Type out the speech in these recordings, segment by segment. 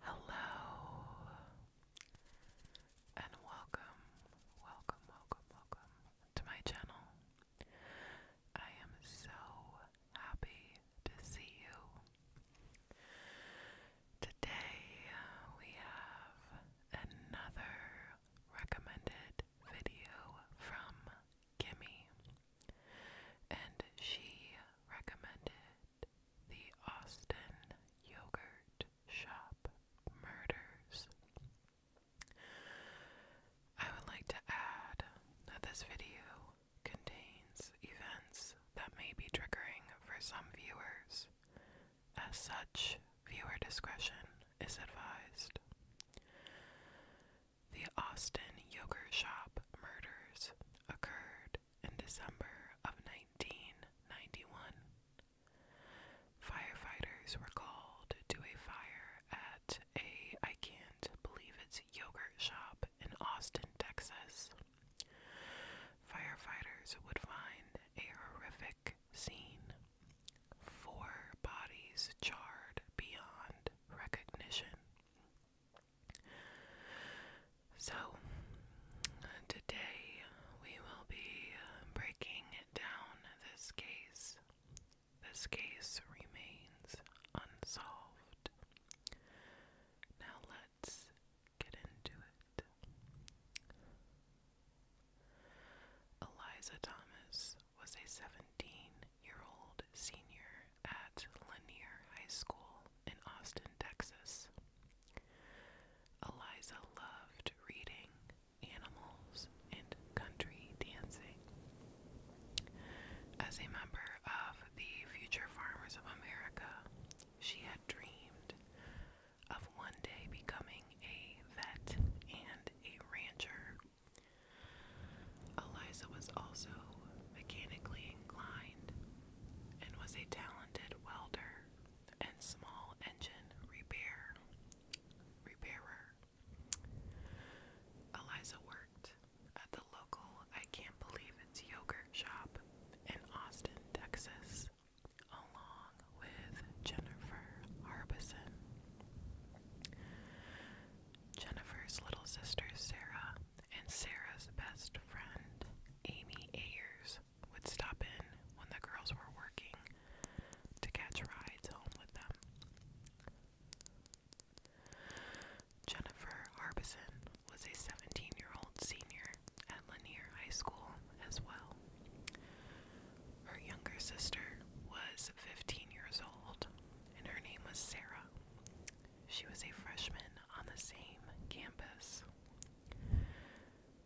Hello and welcome, welcome, welcome, welcome to my channel. I am so happy to see you. Today we have another recommended video from Kimmy, and she recommended the Austin Yogurt Shop Murders. I would like to add that this video contains events that may be triggering for some viewers. As such, viewer discretion is advised. The Austin Yogurt Shop murders occurred in December of 1991. Firefighters were called to a fire at a I can't believe it's yogurt shop in Austin, Texas. Firefighters would find a horrific scene. Four bodies charred beyond recognition. So, today we will be breaking down this case. This case remains unsolved. Now, let's get into it. Eliza Thomas was a 17 year old senior at Lanier High School in Austin, Texas. Eliza loved reading, animals, and country dancing. As a member of the Future Farmers of America, she had dreamed of one day becoming a vet and a rancher Eliza was also mechanically inclined and was a talented welder and small engine repair repairer. Eliza worked at the local I Can't Believe It's Yogurt shop in Austin, Texas, along with Jennifer Harbison. Jennifer's little sister Sarah and Sarah's best friend Amy Ayers would stop in when the girls were working to catch rides home with them. Jennifer Harbison was a 17 year old senior at Lanier High School as well. Her younger sister was 15 years old, and her name was Sarah. She was a freshman on the same campus.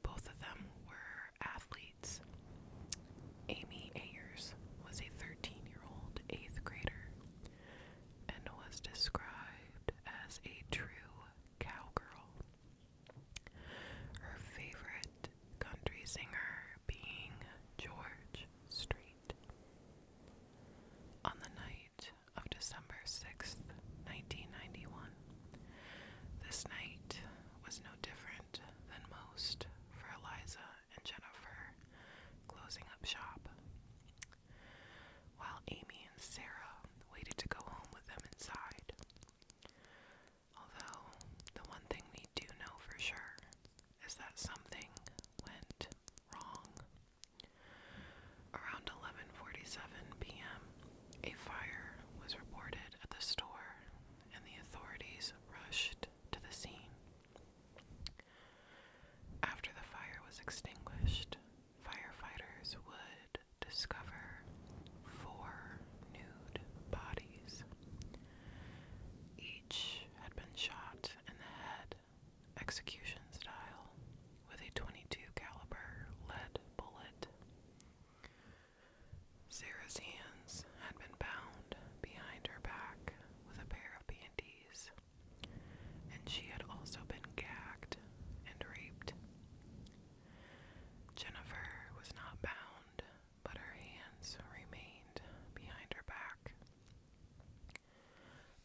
Both of them were athletes. Amy Ayers was a 13 year old eighth grader and was described as a true cowgirl. Her favorite country singer being George Strait. On the night of December 6th, 1991, this night was no different than most for Eliza and Jennifer closing up shop. While Amy and Sarah waited to go home with them inside. Although, the one thing we do know for sure is that something went wrong. Around 11:47 p.m., a fire was reported at the store and the authorities rushed to the scene. After the fire was extinguished, firefighters would discover four nude bodies. Each had been shot in the head, execution style, with a 22 caliber lead bullet. Sarah's hands had been bound behind her back with a pair of panties, and she had also been gagged and raped. Jennifer was not bound, but her hands remained behind her back.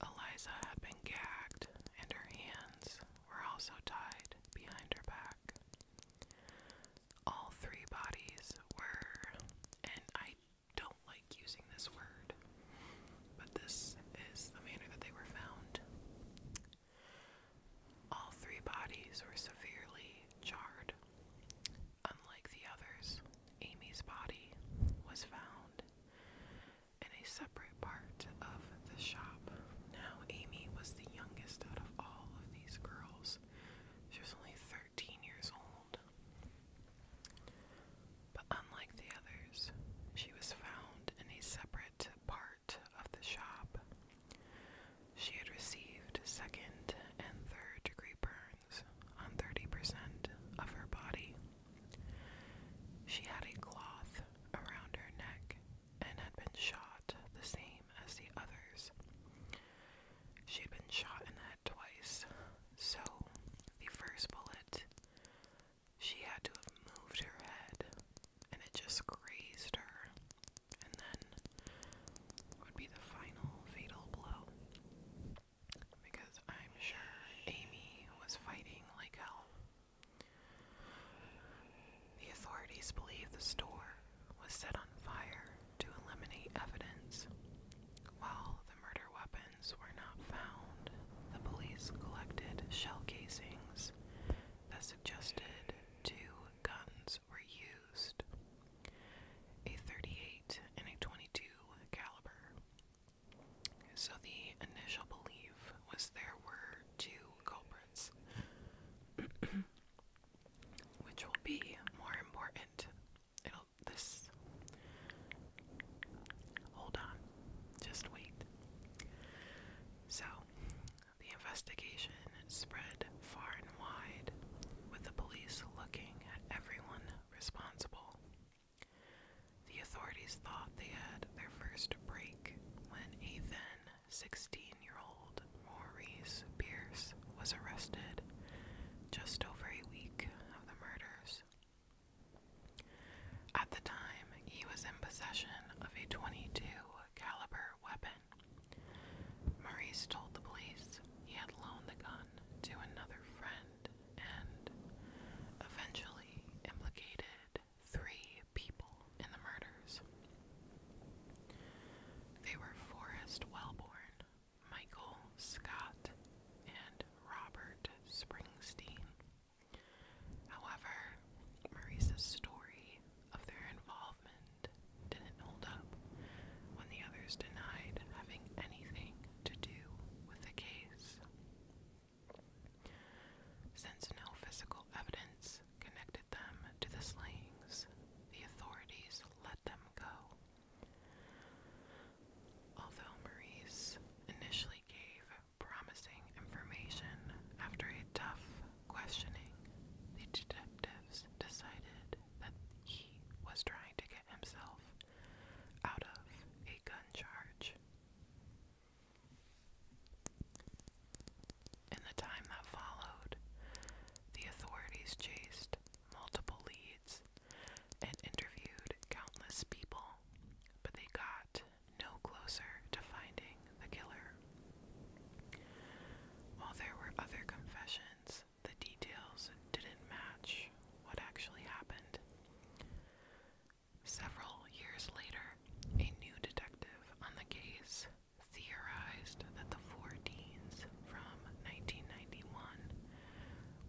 Eliza had been gagged, and her hands were also tied behind her back. All three bodies were, and I don't like using this word, but this is the manner that they were found. All three bodies were severely charred. Unlike the others, Amy's body was found in a separate part of the shop. Now, Amy was the youngest out of all of these girls. She was only 13 years old. But unlike the others, she was found in a separate part of the shop. She had received second and third degree burns on 30% of her body. She had a cloth around her neck and had been shot the same as the others. She had been shot in the head twice, so the first bullet, she had to have moved her head and it just grazed her, and then would be the final fatal blow because I'm sure Amy was fighting like hell. The authorities believe the store was set on fire to eliminate evidence. While the murder weapons were not found, the police collected shell casings that suggested two guns were used. A 38 and a 22 caliber. So the initial belief was there were two culprits, which will be more important. It'll this. Hold on, just wait. So, the investigation spread far and wide, with the police looking at everyone responsible. The authorities thought they had their first break when a then 16 year old Maurice Pierce was arrested just over a week of the murders. At the time, he was in possession of a 22 caliber weapon. Maurice told the police he had loaned the gun to another friend and eventually implicated three people in the murders. They were Forrest Wellborn, Michael Scott, and Robert Springsteen. However, Marisa's story of their involvement didn't hold up when the others denied having anything to do with the case. Since no physical evidence connected them to the slayings, the authorities let them go. Although Maurice initially gave promising information after a tough questioning, the detectives decided that he he was trying to get himself out of a gun charge. In the time that followed, the authorities chased multiple leads and interviewed countless people, but they got no closer to finding the killer. While there were other confessions the details didn't match what actually happened. Several years later, a new detective on the case theorized that the four deans from 1991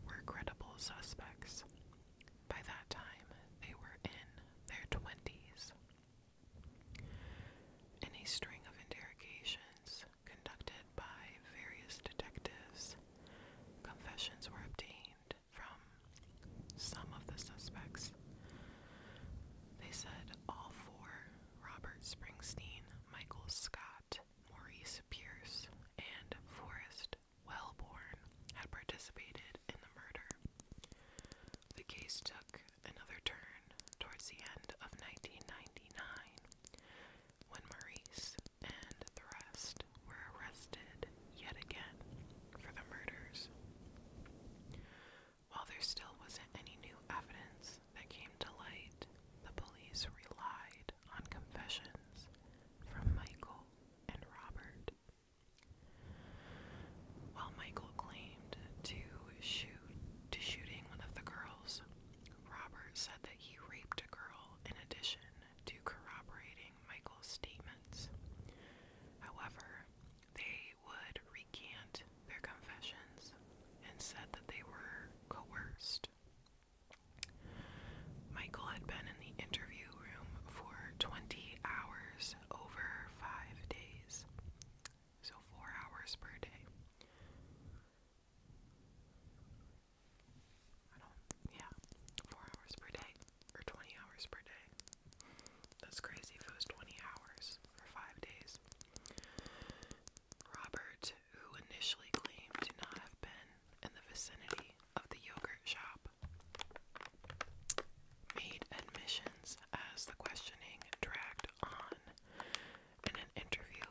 were credible suspects. By that time, they were in their 20s. In a string of interrogations, conducted by various detectives, confessions were obtained from some of the suspects. They said all four Robert Springsteen, Michael Scott, Maurice Pierce, and Forrest Wellborn had participated in the murder. The case took another turn towards the end of 1999 when Maurice and the rest were arrested yet again for the murders. While there still wasn't any new evidence that came to light, the police relied on confessions from Michael and Robert. While Michael claimed to shoot to shooting one of the girls, Robert said that he raped a girl in addition to corroborating Michael's statements. However, they would recant their confessions and said that they were coerced. Michael had been in the interview room for 20 hours over five days, so four hours per day yeah, four hours per day or 20 hours per day. That's crazy it was 20 hours for five days. Robert, who initially claimed to not have been in the vicinity of the yogurt shop, made admissions as the questioning dragged on. In an interview,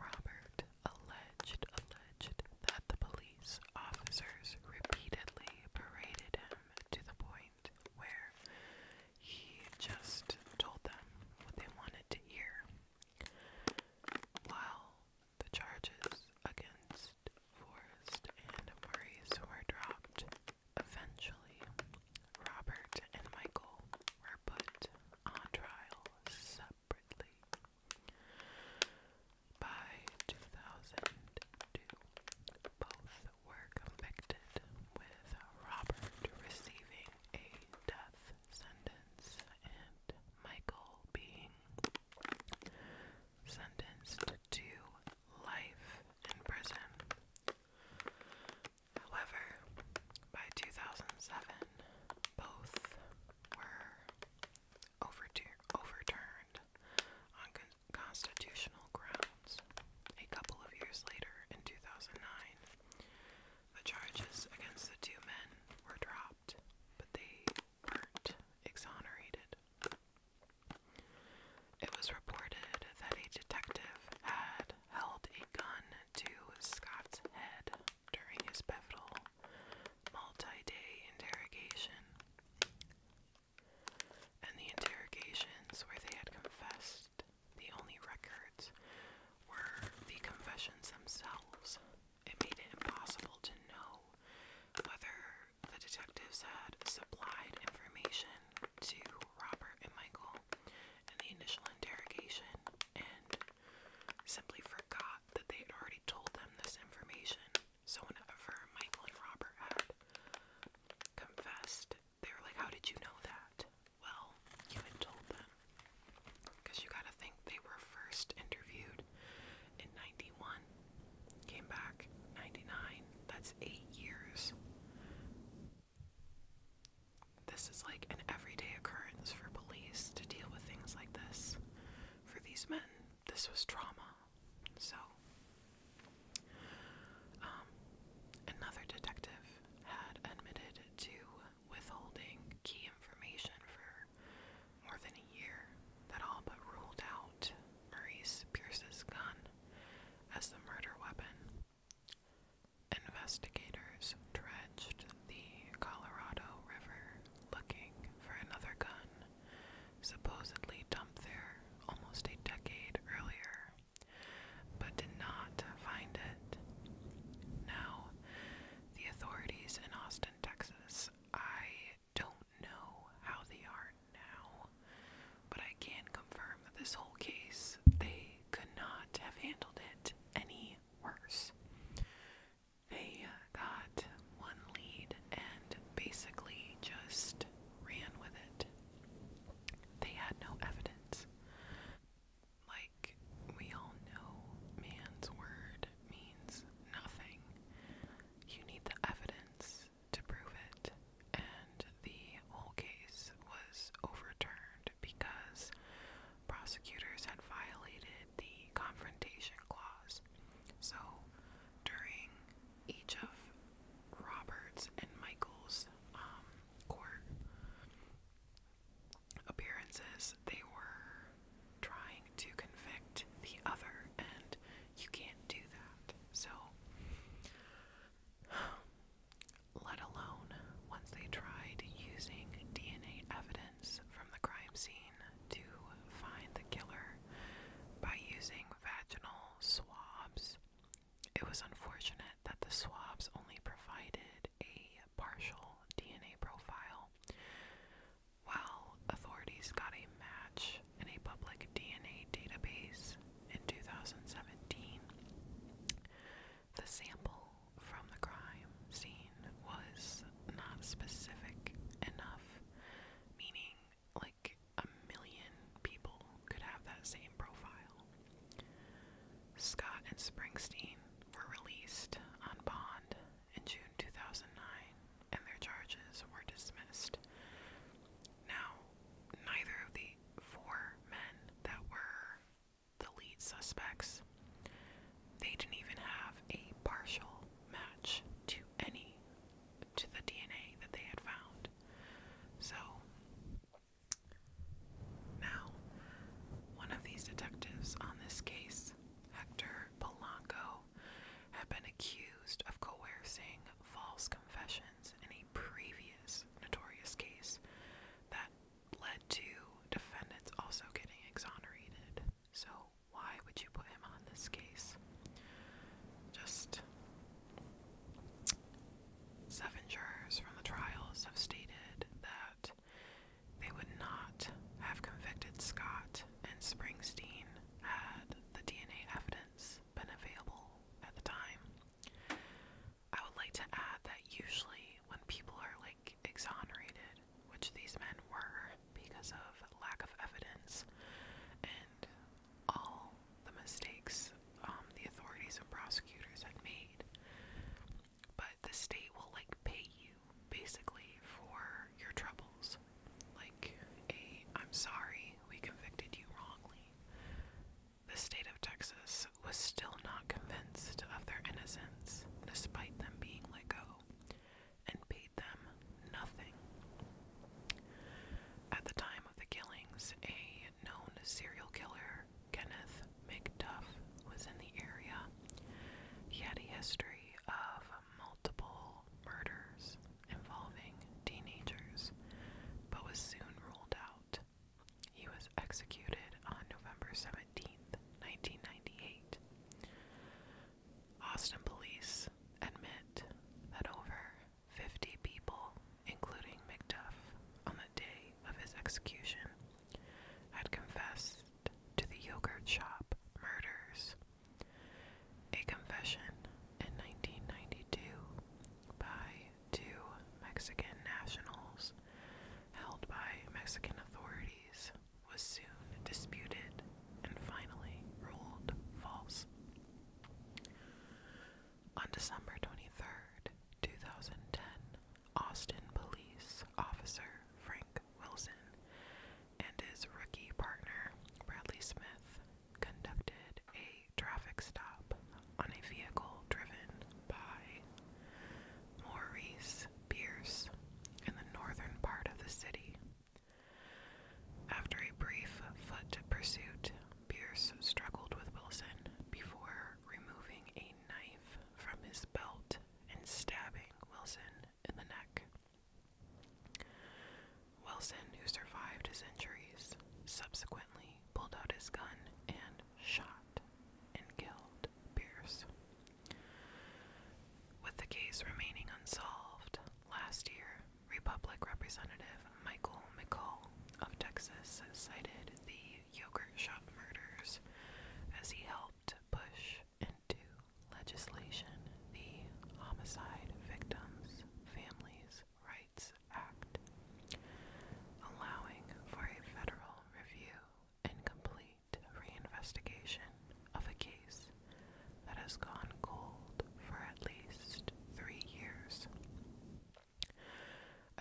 Robert alleged alleged that the police officers repeatedly paraded him to the point where he just told them what they wanted to hear. While the charges against Forrest and Maurice were dropped, eventually Robert and Michael were put on trial separately. By 2002, both were convicted, with Robert receiving a death sentence and Michael being sentenced to life in prison. However, by 2007, both were overtur overturned on constitutional grounds. A couple of years later, in 2009, the charges against the two men were dropped, but they weren't exonerated. It was reported that a detective had held a gun to Scott's head during his pivotal multi day interrogation. And the interrogations where they had confessed, the only records were the confessions themselves. It made it impossible to know whether the detectives had supplied information to Robert and Michael and the initial interrogation and simply forgot that they had already told them this information. So, whenever Michael and Robert had confessed, they were like, How did you know that? Well, you had told them. Because you gotta think they were first interviewed in 91, came back 99, that's eight years. This is like an everyday occurrence for police to deal with things like this. For these men, this was trauma. So, um, another detective had admitted to withholding key information for more than a year that all but ruled out Maurice Pierce's gun as the murder weapon. Investigators dredged the Colorado River looking for another gun, supposedly dumped there almost a decade earlier, but did not find it. Now, the authorities in Austin, Texas, I don't know how they are now, but I can confirm that this whole case, they could not have handled it any worse. They uh, got one lead and basically just ran with it. They had no evidence. Like we all know, man's word means nothing. You need the evidence to prove it, and the whole case was overturned because prosecutors had violated the confrontation clause. So, during each of Roberts and Michael's um, court appearances, they were trying to convict the other, and you can't do that. So, let alone once they tried using DNA evidence from the crime scene to find the killer by using vaginal swabs. It was unfortunate that the swabs only provided a partial DNA profile. While authorities got a match in a public DNA database in 2017, the sample from the crime scene was not specific enough, meaning, like, a million people could have that same profile. Scott and Springsteen were released on bond in June 2009, and their charges were dismissed. Now, neither of the four men that were the lead suspects. They didn't even have a partial match to any to the DNA that they had found. So now one of these detectives on this case, Hector Polanco, had been accused of coercing false confessions in a previous notorious case that led to defendants also getting exonerated. So, why would you put him on this case? Just seven jurors from the trials have stated that they would not have convicted Scott and Springsteen had the DNA evidence been available at the time. I would like to add that usually when people are like exonerated, which these men were because of lack of evidence and all the mistakes um, the authorities and prosecutors had made, but the state will like pay you basically for your troubles. Like a, I'm sorry, we convicted you wrongly. The state of Texas was still not convinced of their innocence, despite them being let go, and paid them nothing. At the time of the killings, a known serial killer, Kenneth McDuff, was in the area. He had a history of multiple murders involving teenagers, but was soon ruled out. He was executed on November 17, 1998. Austin police admit that over 50 people, including McDuff, on the day of his execution, had confessed to the yogurt shop murders. A confession in 1992 by two Mexican nationals held by Mexican authorities was soon disputed and finally ruled false. On December 23rd, 2010, Austin police officer Frank Wilson and his rookie partner Bradley Smith conducted a traffic stop on a vehicle driven by Maurice Pierce in the northern part of the city. After a brief foot pursuit, Pierce struggled with Wilson before removing a knife from his belt and stabbing Wilson in the neck. Wilson, who survived his injuries, subsequently pulled out his gun and shot and killed Pierce. With the case remaining unsolved, last year, Republican Representative Michael McCall of Texas cited the yogurt shop murders as he helped push into legislation the Homicide Victims' Families Rights Act, allowing for a federal review, and complete reinvestigation of a case that has gone cold for at least three years.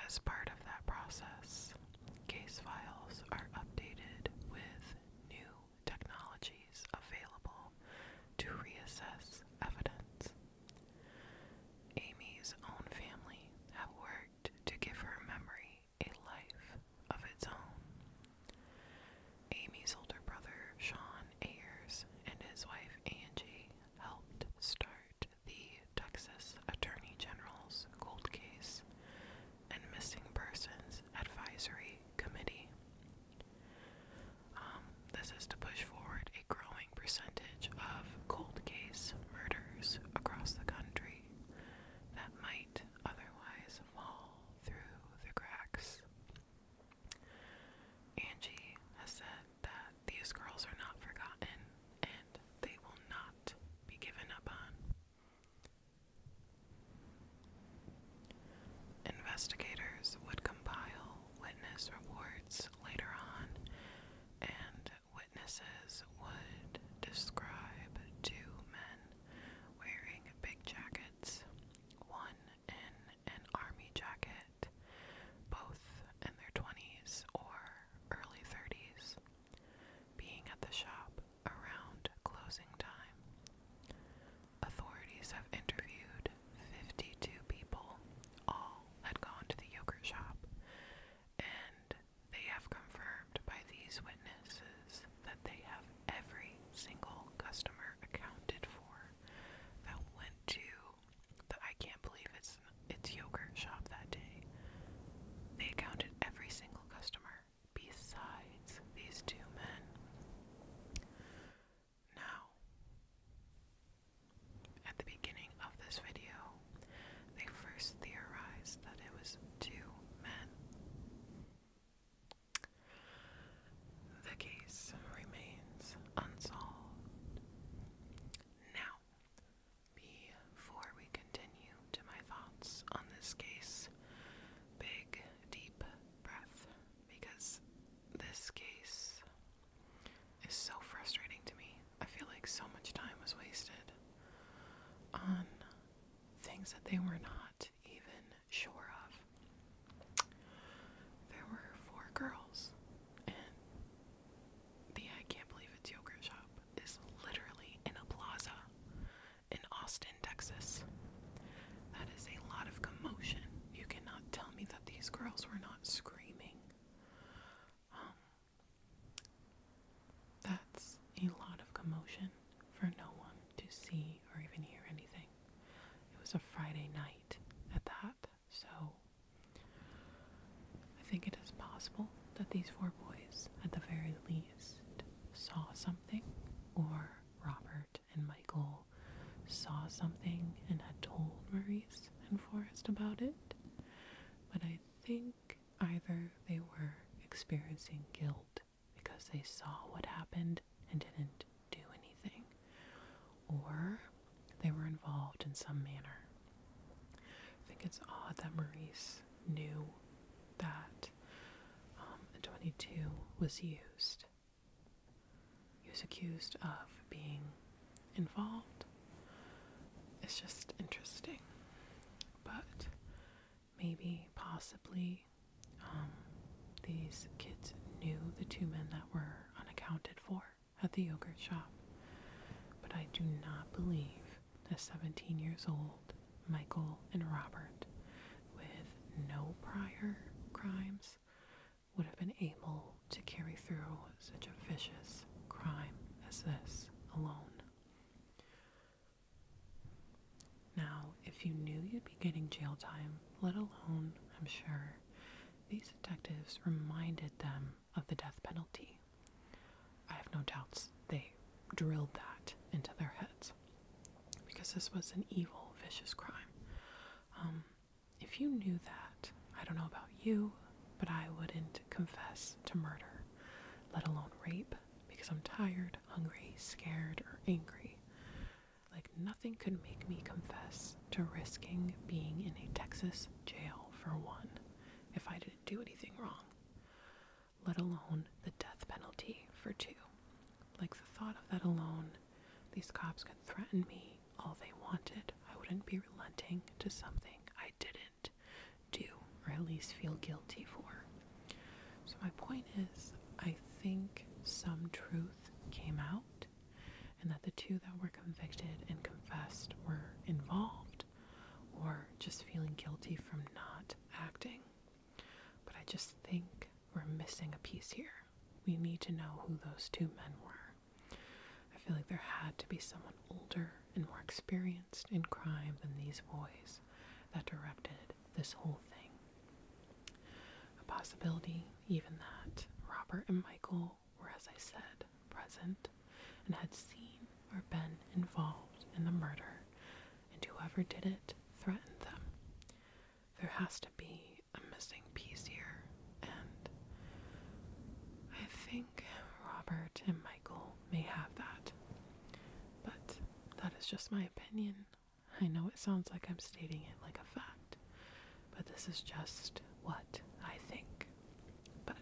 As part of that process, case files are updated with new technologies available to reassess evidence. Amy's own family at work to give her memory a life of its own. Amy's older brother, Sean Ayers, and his wife Angie helped start the Texas Attorney General's Cold Case and Missing Persons Advisory Committee. Um, this is to push forward a growing percentage of cold case murders across the country that might otherwise fall through the cracks. Angie has said that these girls are not forgotten and they will not be given up on. Investigators would compile witness reports later on and witnesses would describe two men wearing big jackets, one in an army jacket, both in their 20s or early 30s, being at the shop around closing time. Authorities have interviewed 52 people, all had gone to the yogurt shop, and they have confirmed by these witnesses that they have every single customer accounted for that went to the I can't believe it's it's yogurt shop that day. They accounted every single customer besides these two men. Now at the beginning of this video, they first theorized that it was two men. The case remains unsolved. Now, before we continue to my thoughts on this case, big, deep breath, because this case is so frustrating to me. I feel like so much time was wasted on things that they were not even sure of. There were four girls, and the I Can't Believe It's Yogurt Shop is literally in a plaza in Austin, Texas. That is a lot of commotion. You cannot tell me that these girls were not screaming. Um, that's a lot of commotion for no one to see or even hear anything. It was a Friday night at that, so I think it is possible that these four boys, at the very least, saw something, or Robert and Michael saw something and had told Maurice and Forrest about it. But I think either they were experiencing guilt because they saw what happened and didn't do anything, or they were involved in some manner. I think it's odd that Maurice knew that um, 22 was used. He was accused of being involved. It's just interesting. But maybe, possibly, um, these kids knew the two men that were unaccounted for at the yogurt shop. But I do not believe that 17 years old Michael and Robert, with no prior crimes, would have been able to carry through such a vicious crime as this alone. Now, if you knew you'd be getting jail time, let alone, I'm sure, these detectives reminded them of the death penalty. I have no doubts they drilled that into their heads because this was an evil, vicious crime. Um, if you knew that, I don't know about you, but I wouldn't confess to murder, let alone rape, because I'm tired, hungry, scared, or angry. Like, nothing could make me confess to risking being in a Texas jail for one if I didn't do anything wrong, let alone the death penalty for two. Like, the thought of that alone, these cops could threaten me all they wanted. I wouldn't be relenting to something I didn't do, or at least feel guilty for. So, my point is, I think some truth came out, and that the two that were convicted and confessed were involved or just feeling guilty from not acting. But I just think we're missing a piece here. We need to know who those two men were. I feel like there had to be someone older and more experienced in crime than these boys that directed this whole thing. A possibility, even that Robert and Michael were, as I said, present and had seen or been involved in the murder, and whoever did it threatened them. There has to be a missing piece here, and I think. Robert and Michael may have that. But that is just my opinion. I know it sounds like I'm stating it like a fact, but this is just what I think. But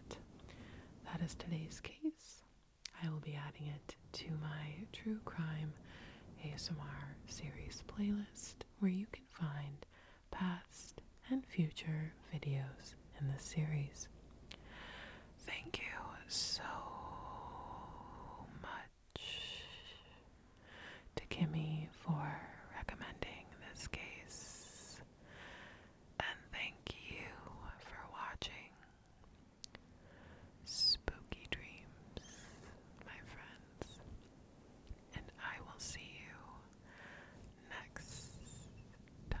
that is today's case. I will be adding it to my true crime ASMR series playlist where you can find past and future videos in the series. Thank you so much to Kimmy for recommending this case, and thank you for watching. Spooky dreams, my friends, and I will see you next time.